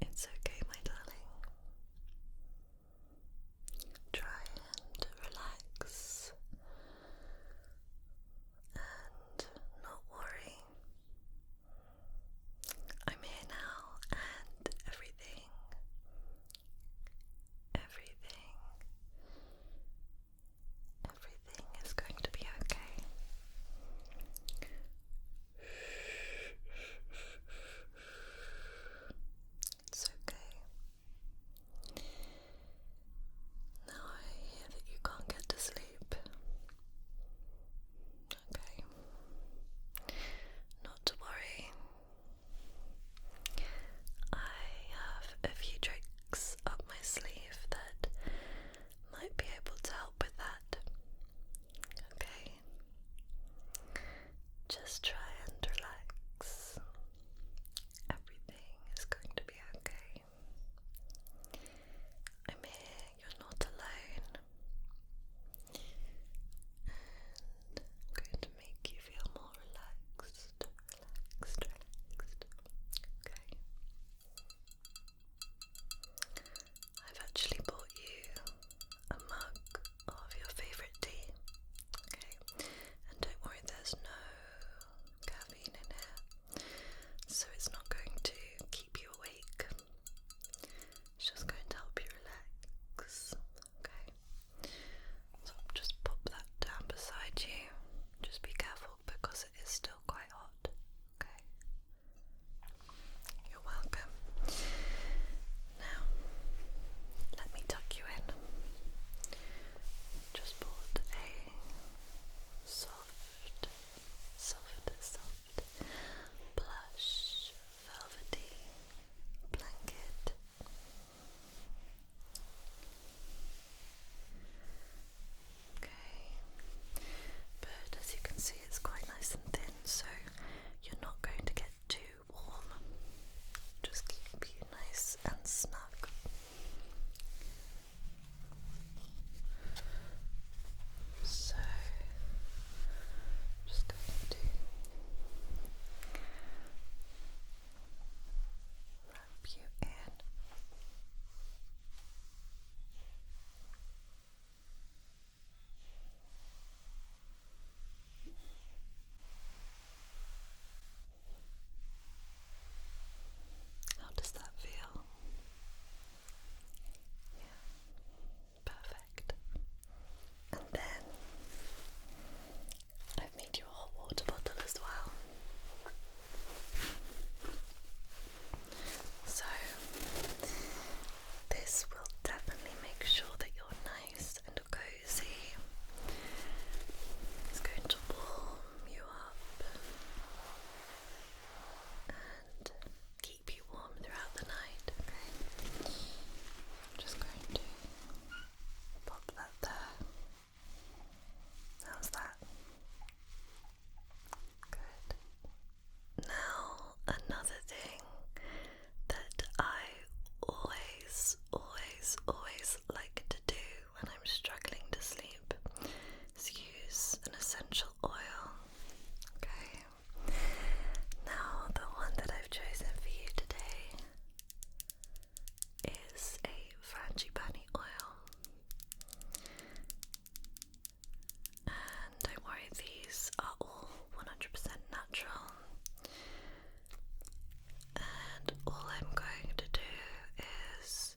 It's okay, my darling. Try and relax and not worry. I'm here now, and everything, everything Everything is going to be okay. It's okay. Now I hear that you can't get to sleep. Okay. Not to worry. I have a few tricks up my sleeve that might be able to help with that. Okay? Just try and relax. Everything is going to be okay. I'm here, you're not alone. I'm going to make you feel more relaxed, relaxed, Okay. I've actually bought you a mug of your favourite tea. Okay. And don't worry, there's no caffeine in here. So it's not going to keep you awake. It's just going to help you relax. Okay. So just pop that down beside you. Just be careful because it is still quite hot. Okay. You're welcome. Now, let me tuck you in. Just bought a soft, soft, soft plush velvety blanket. Okay, but as you can see, it's quite nice and thin, so you're not going to get too warm. Just keep you nice and snug. So, just going to lump you in. How does that feel? Yeah, perfect. And then I've made you a hot water bottle as well. So, this will definitely make sure that you're nice and cozy. It's going to warm you up and keep you warm throughout the night. I'm just going to pop that there. How's that? Good. Now, another thing that I always, always, always like to do when I'm struggling to sleep is use an essential oil. Okay. Now, the one that I've chosen for you today is a frangipani oil. And don't worry, these are all 100% natural. And all I'm going to do is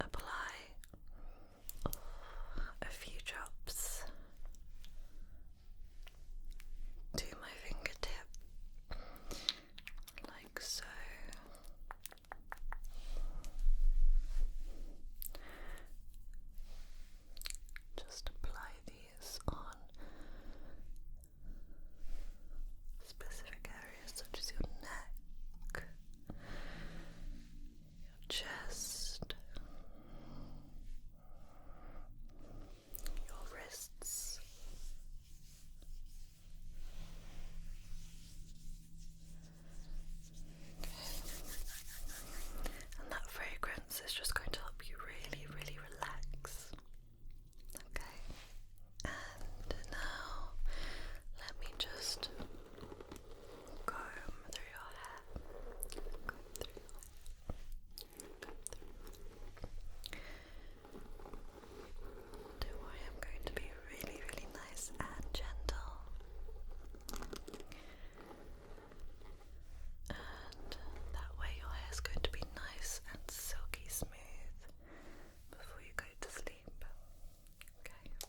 apply a few drops to my fingertip, like so. Just apply these on specific areas such as your neck, your chest, your wrists, and that fragrance is just going to help you really, really relax. Okay. And now let me just comb through your hair. Don't worry, I'm going to be really, really nice and gentle. And that way, your hair's going to be nice and silky smooth before you go to sleep. Okay.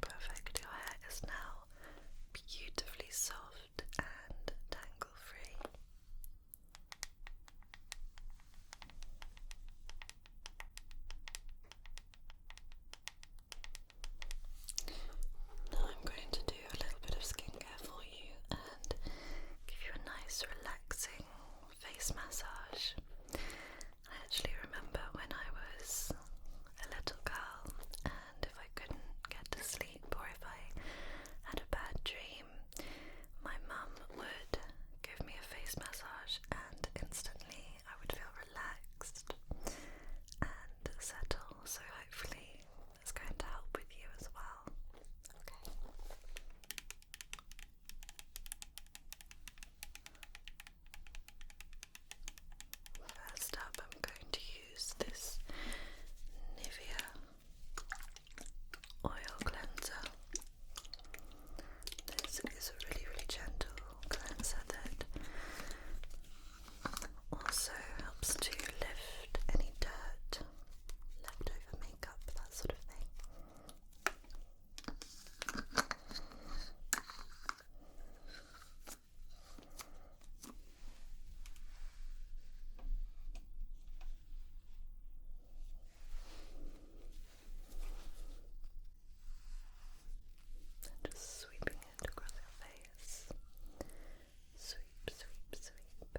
Perfect. Your hair is now beautifully soft and tangle free. I'm going to do a little bit of skincare for you and give you a nice relaxing face massage. I actually remember when I was a little girl, and if I couldn't get to sleep or if I had a bad dream, my mum would give me a face massage, and instantly I would feel relaxed and settle. So, hopefully, it's going to help with you as well. Okay. First up, I'm going to use this Nivea oil cleanser. This is a really, really gentle cleanser that also helps to lift any dirt, leftover makeup, that sort of thing. And just sweeping it across your face. Sweep, sweep, sweep.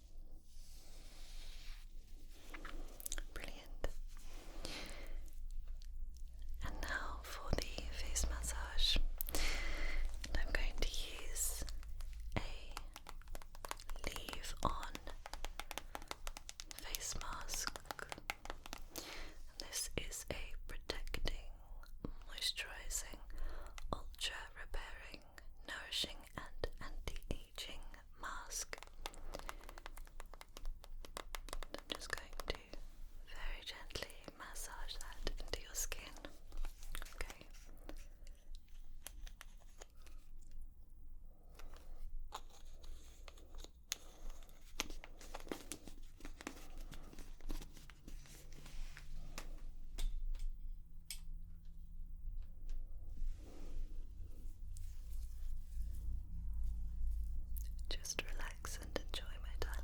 Brilliant. And now for the face massage. I'm going to use a leave on face mask. this is a protecting, moisturizing, ultra repairing, nourishing, and anti mask. I'm just going to very gently massage that into your skin. Okay. Just relax and enjoy, my darling.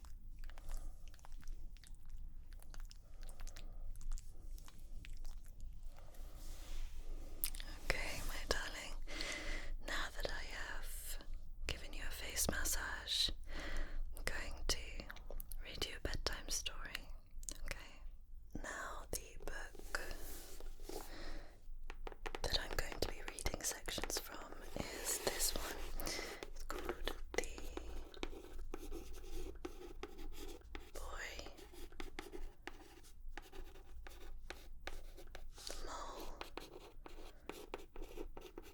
Okay, my darling, now that I have given you a face massage, I'm going to read you a bedtime story. Okay, now the book that I'm going to be reading sections from is this one. It's called the Boy the Mole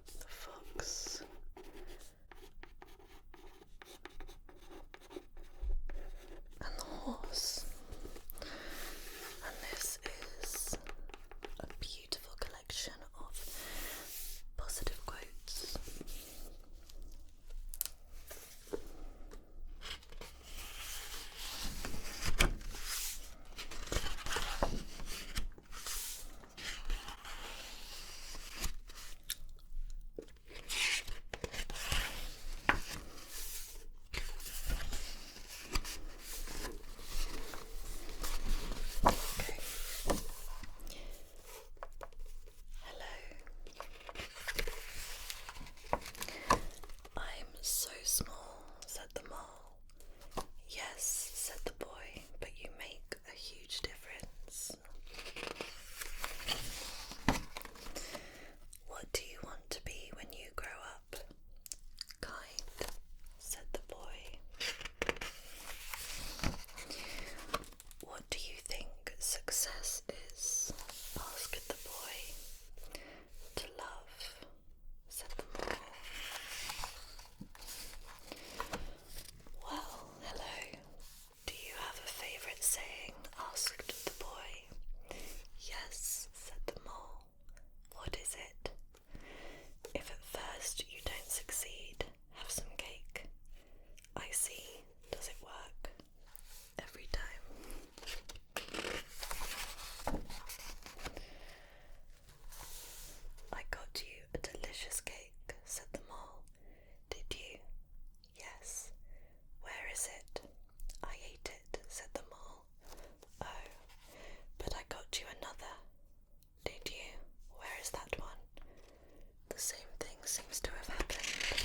the Fox and the Horse. And this is a beautiful collection collection of positive quotes. Hello. I'm so small, said the mole. Yes, said the boy, but you make a huge difference. What do you want to be when you grow up? Kind, said the boy. What do you think success is? asked the boy. To love, said the boy. Well, hello. Do you have a favourite saying? asked the boy. Yes, said the mole. What is it? If at first you don't succeed, have some cake. I see, does it work? Every time. I got you a delicious cake, said the mole. Did you? Yes. Where is it? I ate it, said the mole. Oh, but I got you another. Did you? Where is that one? The same thing seems to have happened.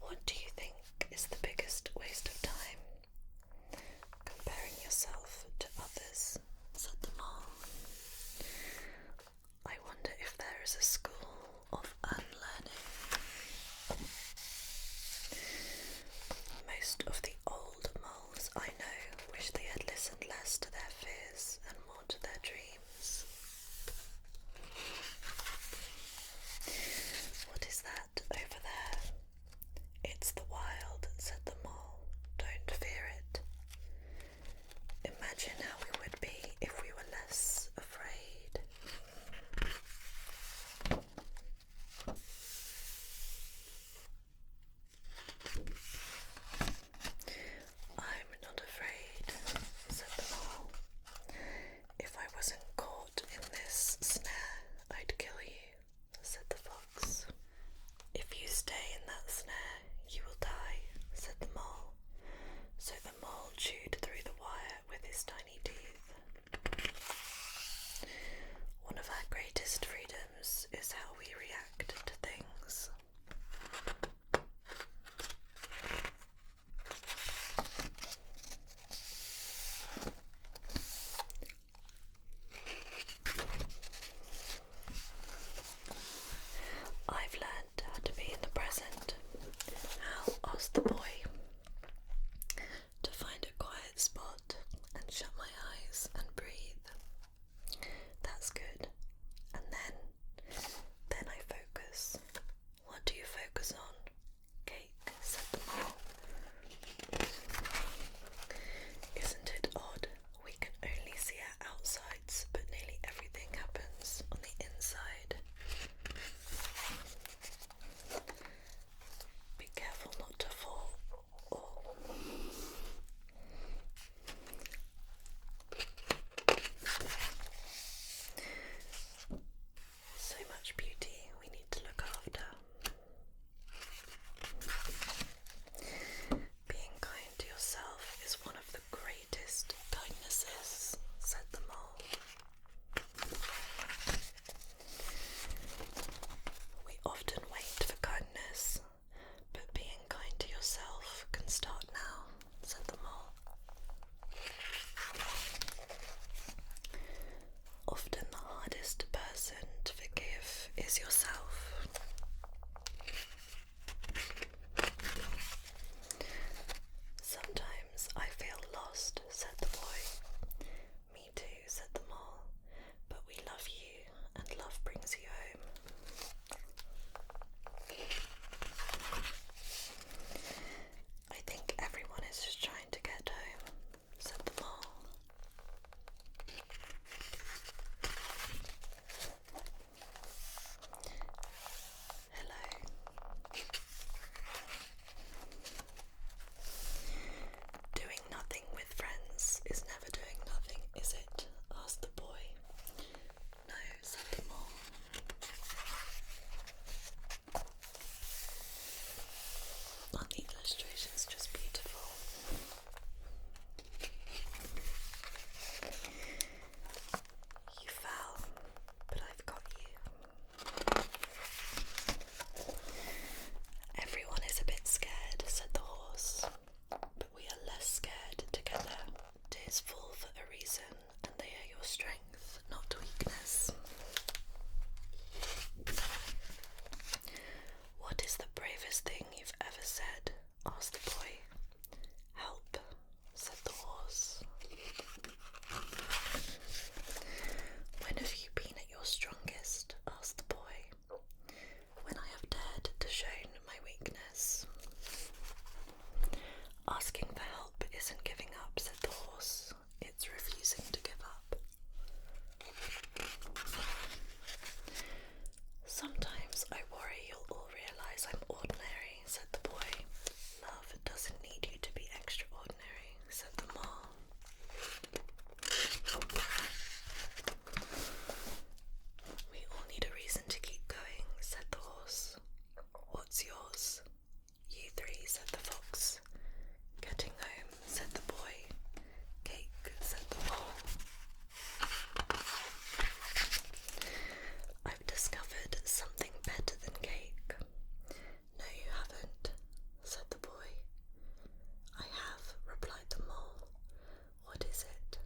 What do you think is the biggest waste of time? Comparing yourself to others, said the mole. I wonder if there is a school of unlearning. Most of the old I know, wish they had listened less to their fears and more to their dreams. What is that over there? It's the wild, said the mole. Don't fear it. Imagine how we would be if we were less afraid. I'm not afraid, said the mole. If I wasn't caught in this snare, I'd kill you, said the fox. If you stay in that snare, you will die, said the mole. So the mole chewed through the wire with his tiny teeth one of our greatest freedoms is how we react to things. I've learned how to be in the present. How asked the boy to find a quiet spot and shut my eyes and breathe. That's good. And then, then I focus. What do you focus on? Cake, Isn't it odd? We can only see our outsides, but nearly everything happens on the inside. Be careful not to fall, so much beauty we need to look after. Being kind to yourself is one of the greatest kindnesses, said the mole. We often wait for kindness, but being kind to yourself can start now, said the mole. Often the hardest person to forgive is yourself. Sometimes I feel lost, said the boy. Me too, said the mole, but we love you, and love brings you home. I think everyone is just trying to get home, said the mole. Hello. Doing nothing with friends is never doing nothing, is it? asked the boy. No, said the mole. are just beautiful? You fell, but I've got you. Everyone is a bit scared, said the horse, but we are less scared together. Tears fall for a reason, and they are your strength, not weakness. What is the bravest thing you've ever said? asked the boy. Help, said the horse. When have you been at your strongest? asked the boy when I have dared to show my weakness. Asking for help isn't giving up, said the horse. It's refusing to give up. Sometimes I worry you'll all realise I'm ordinary, said the boy. Love doesn't need you to be extraordinary, said the mole. We all need a reason to keep going, said the horse. What's yours? You three, said the fox. Getting home, said the boy. Cake, said the mole. I've discovered something better than cake. No, you haven't, said the boy. I have, replied the mole. What is it?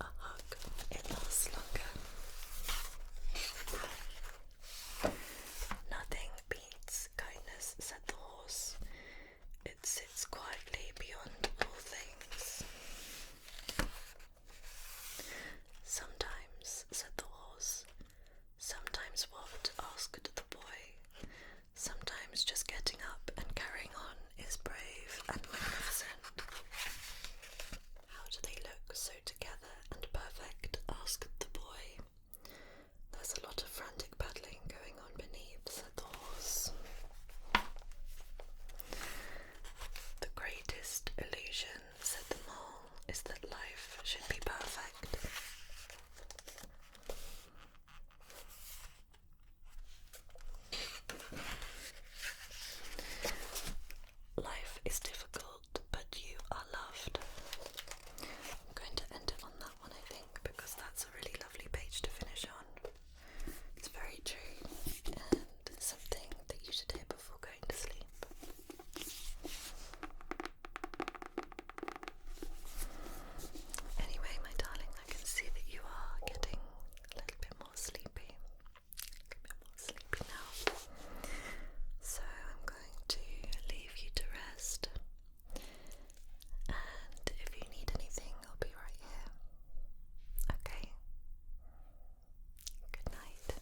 A hug. It lasts longer. Nothing beats kindness, said the horse. It sits quietly beyond all things. Sometimes, said the horse. Sometimes what? asked the boy. Sometimes just getting up and carrying on is brave and magnificent. How do they look so together and perfect? asked the boy. There's a lot of frantic paddling going on beneath, said the horse. The greatest illusion, said the mole, is that life should be perfect. Life is difficult, but you are loved. I'm going to end it on that one, I think, because that's a really lovely page to finish on. It's very true and something that you should hear before going to sleep. Anyway, my darling, I can see that you are getting a little bit more sleepy. A little bit more sleepy now. So I'm going to leave you to rest. And if you need anything, I'll be right here. Okay? Good night.